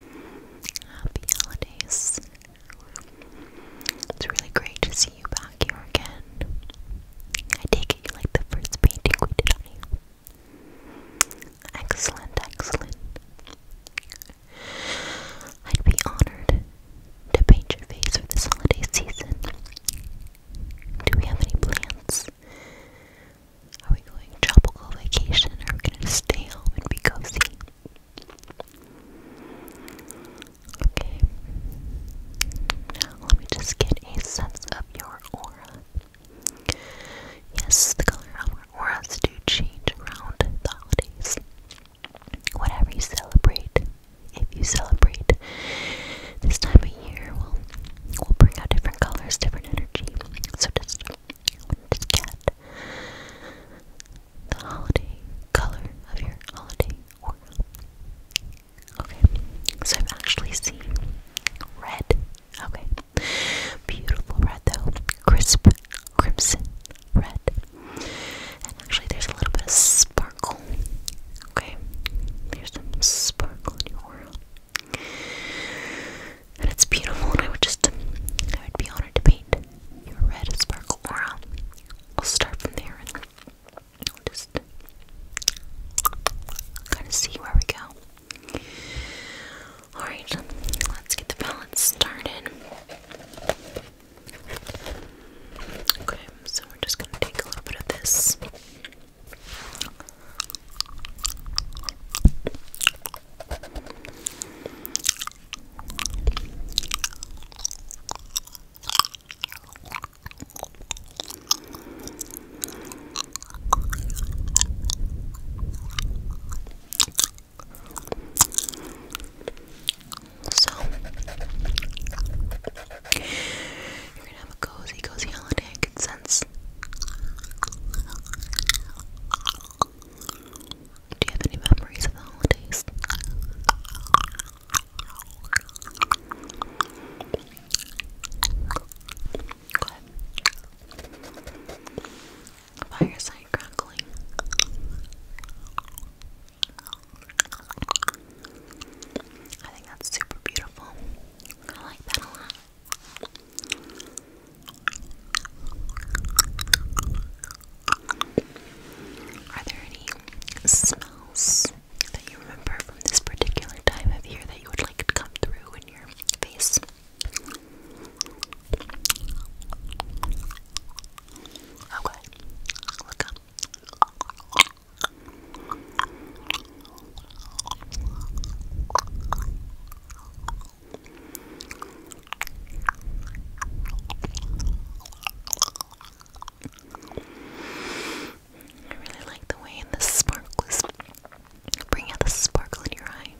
Happy holidays. It's really great to see you back here again. I take it you like the first painting we did Excellent, excellent. I'd be honored to paint your face for this holiday season. Do we have any plans? Are we going tropical vacation or are we gonna stay home and be cozy? Okay. let me just get a sense of your aura. Yes, the color of our auras do change around the holidays. Whatever you celebrate, if you celebrate this time of year, we'll, we'll bring out different colors, different energy. So just this cat. The holiday color of your holiday Okay, so I'm actually seeing red. Okay, beautiful red though, crisp crimson red. And actually, there's a little bit of sparkle. Okay, there's some sparkle in your world. And it's beautiful, and I would just, I would be honored to paint your red sparkle aura. we will start from there and I'll just kind of see where we go. Alright, let's get the balance started. Okay, so we're just going to take a little bit of this so, you're gonna have a cozy, cozy holiday. I can do you have any memories of the holidays? Fireside crackling. I think that's super beautiful. I like that a lot. Are there any smells that you remember from this particular time of year that you would like to come through in your face? Okay, look up. I really like the way the sparkles bring out the sparkle in your eye.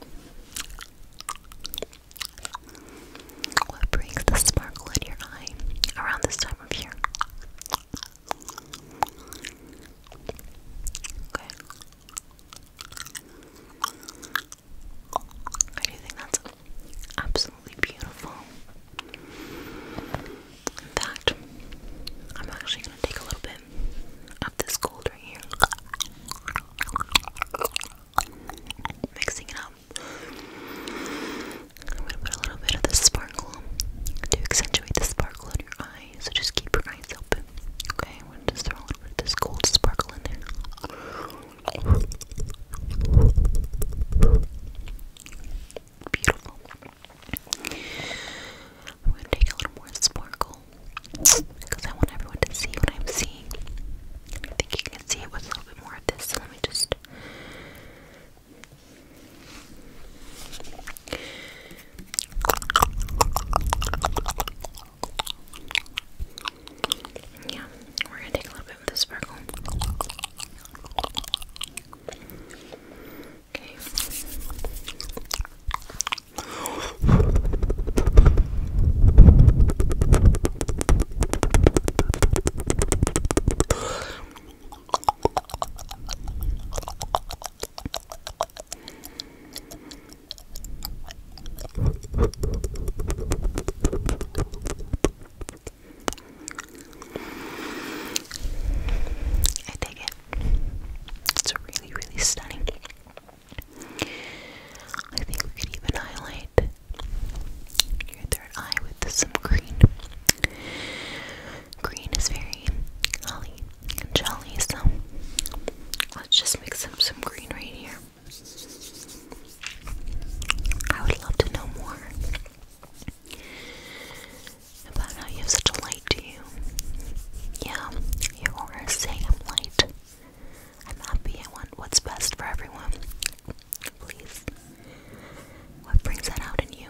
What brings the sparkle in your eye around this time of year? Okay. I do think that's absolutely beautiful. In fact, I'm actually going to take a little bit of this gold right here, mixing it up. I'm going to put a little bit of this sparkle to accentuate the sparkle in your eye so just keep your eyes open. Okay, I'm gonna just throw a little bit of this gold sparkle in there. Beautiful. I'm gonna take a little more sparkle because I want everyone to see what I'm seeing. I think you can see it with a little bit more of this. So let me just yeah, we're gonna take a little bit of the sparkle. Okay. I dig it. It's really, really stunning. I think we could even highlight your third eye with some green. Green is very holly and jolly, so let's just mix up some green right here. I would love to know more about how you have such a light to you. Yeah, your aura say I'm light. I'm happy. I want what's best for everyone. Please. What brings that out in you?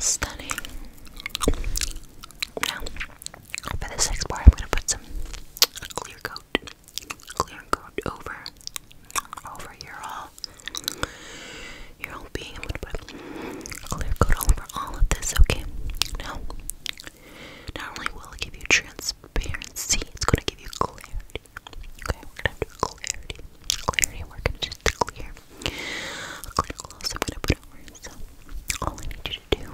Stunning. Now, for this next part, I'm going to put some clear coat, clear coat over, over your whole your whole being. i to put clear coat over all of this, okay? Now, not only will it give you transparency, it's gonna give you clarity. Okay, we're gonna do clarity. Clarity, we're gonna just clear. A clear gloss I'm gonna put over. So all I need you to do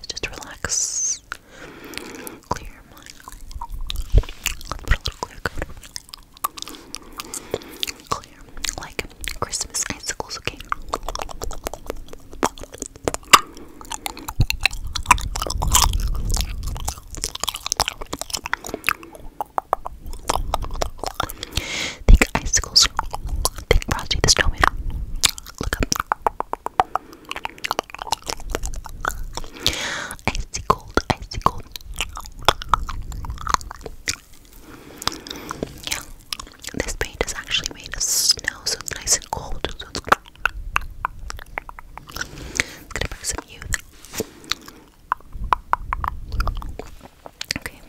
is just relax clear Let's put a little clear coat. Clear, like Christmas icicles, okay? Think icicles. Think Frosty the Snowman. Look up. Icicle, cold, icy Yeah, this paint is actually made of snow, so it's nice and cold. it's, gonna bring some youth. Okay,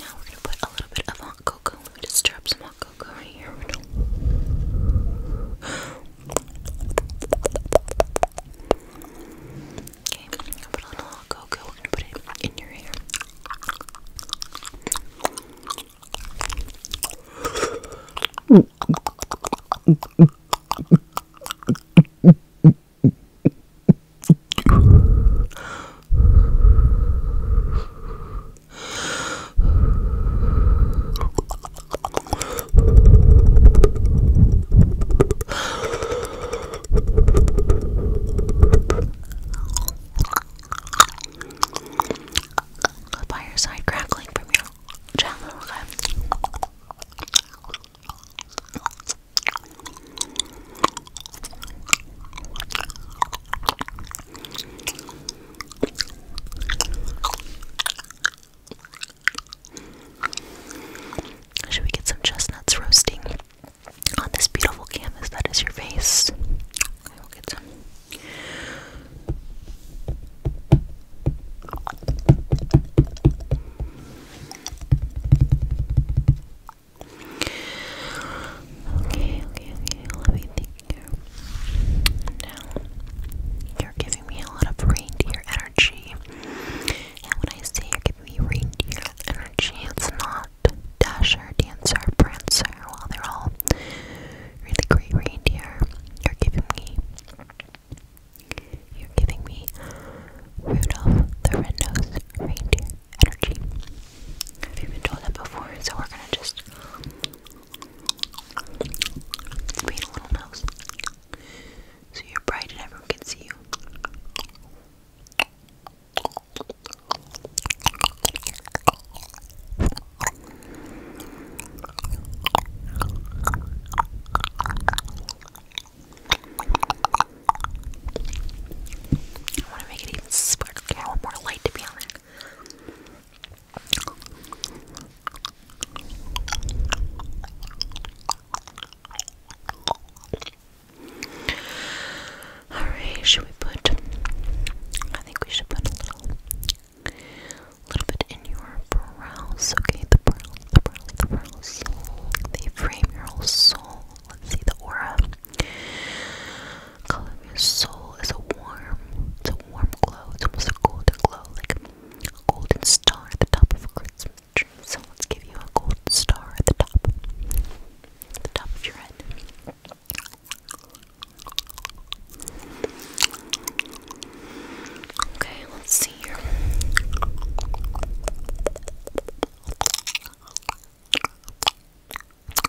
now we're gonna put a little bit of hot cocoa. just drop some hot cocoa right here. Okay, I'm gonna put a little cocoa. We're gonna put it in your hair. Fireside crackling from your channel, okay? Should we get some chestnuts roasting on this beautiful canvas that is your face? Okay, okay, okay. Let me think you're giving me a lot of reindeer energy. And when I say you're giving me reindeer energy, it's not Dasher, Dancer, Prancer. While they're all really great reindeer, you're giving me. You're giving me Rudolph the Red-Nosed Reindeer energy. I've even told that before, so we're gonna just it's a little nose. So you're bright and everyone can see you. I want to make it even sparkly. I want more light to be on it. Alright, should we put I think we should put a little little bit in your brows, okay? The brows, the brows, the brows. They frame Let's see the aura color of your soul is a warm, it's a warm glow. It's almost a golden glow, like a golden star at the top of a Christmas tree. So let's give you a golden star at the top, at the top of your head. Okay, let's see here.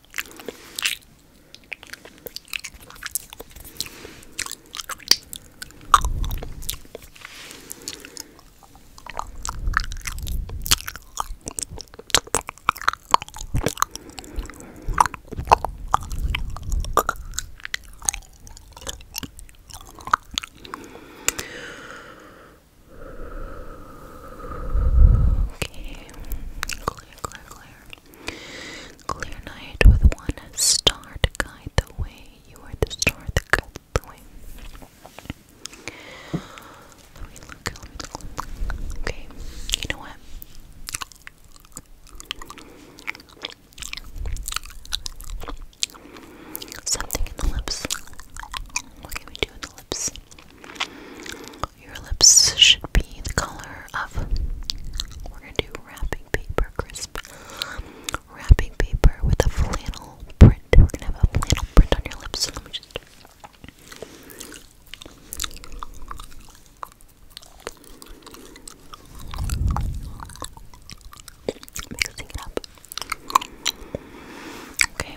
Okay, close clear, clear, clear. night with one star to guide the way. You are the star that guides the way. Okay, you know what? Something in the lips. What can we do in the lips? Your lips should be the color of. We're gonna do wrapping paper, crisp wrapping paper with a flannel print. We're gonna have a flannel print on your lips. So let me just. Mixing it up. Okay.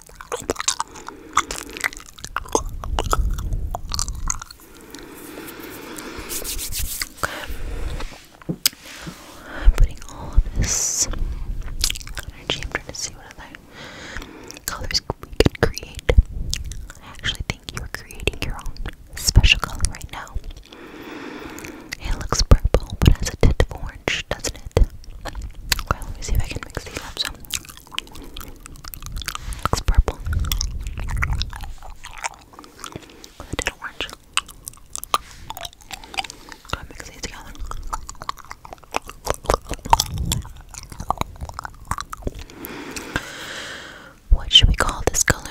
I'm putting all of this energy. I'm trying to see what other colors we can create. I actually think you're creating your own special color right now. It looks purple, but has a tint of orange, doesn't it? Okay, let me see if I can mix these up. Looks purple. I did orange. Gotta mix these together. What should we call this color? I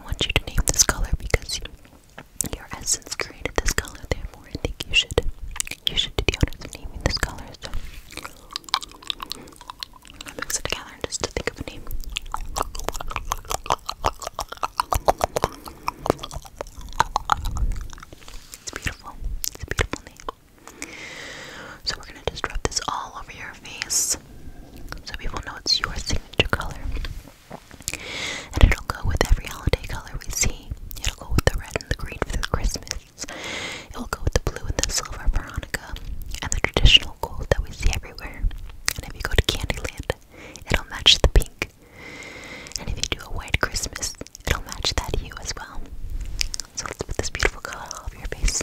want you to name this color because your essence created this color, I think you should you should do the honors of naming this color. I'll mix together just to think of a name. It's beautiful. It's a beautiful name. So we're gonna just rub this all over your face so people know it's your signature color. And it'll go with every holiday color we see. It'll go with the red and the green for the Christmas. It will go with the blue and the silver for Hanukkah and the traditional gold that we see everywhere. And if you go to Candyland, it'll match the pink. And if you do a white Christmas, it'll match that hue as well. So let's put this beautiful color all over your face.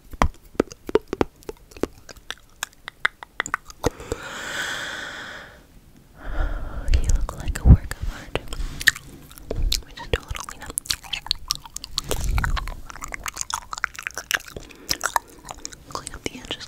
You look like a work of art. Let me just do a little clean up. Clean up the edges.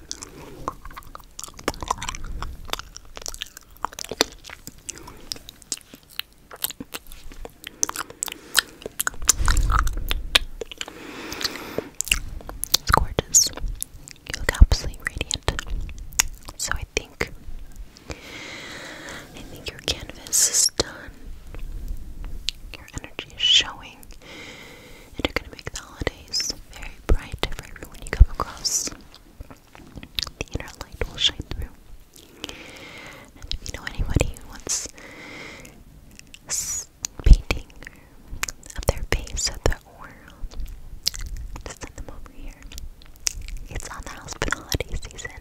It's gorgeous. You look absolutely radiant. So I think I think your canvas is done. Your energy is showing and are going to make the holidays very bright for everyone you come across. The inner light will shine through. And if you know anybody who wants painting of their face or their aura, just send them over here. It's on the house for holiday season.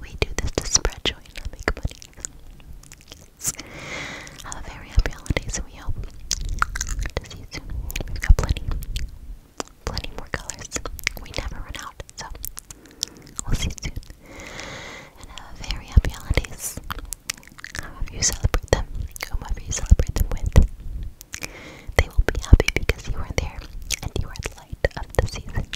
We do this to spread joy and make money have a very happy holidays. We hope to see you soon. We've got plenty, plenty more colors. We never run out, so we'll see you soon. And uh, have a very happy holidays. However you celebrate them, whomever you celebrate them with, they will be happy because you are there and you are the light of the season.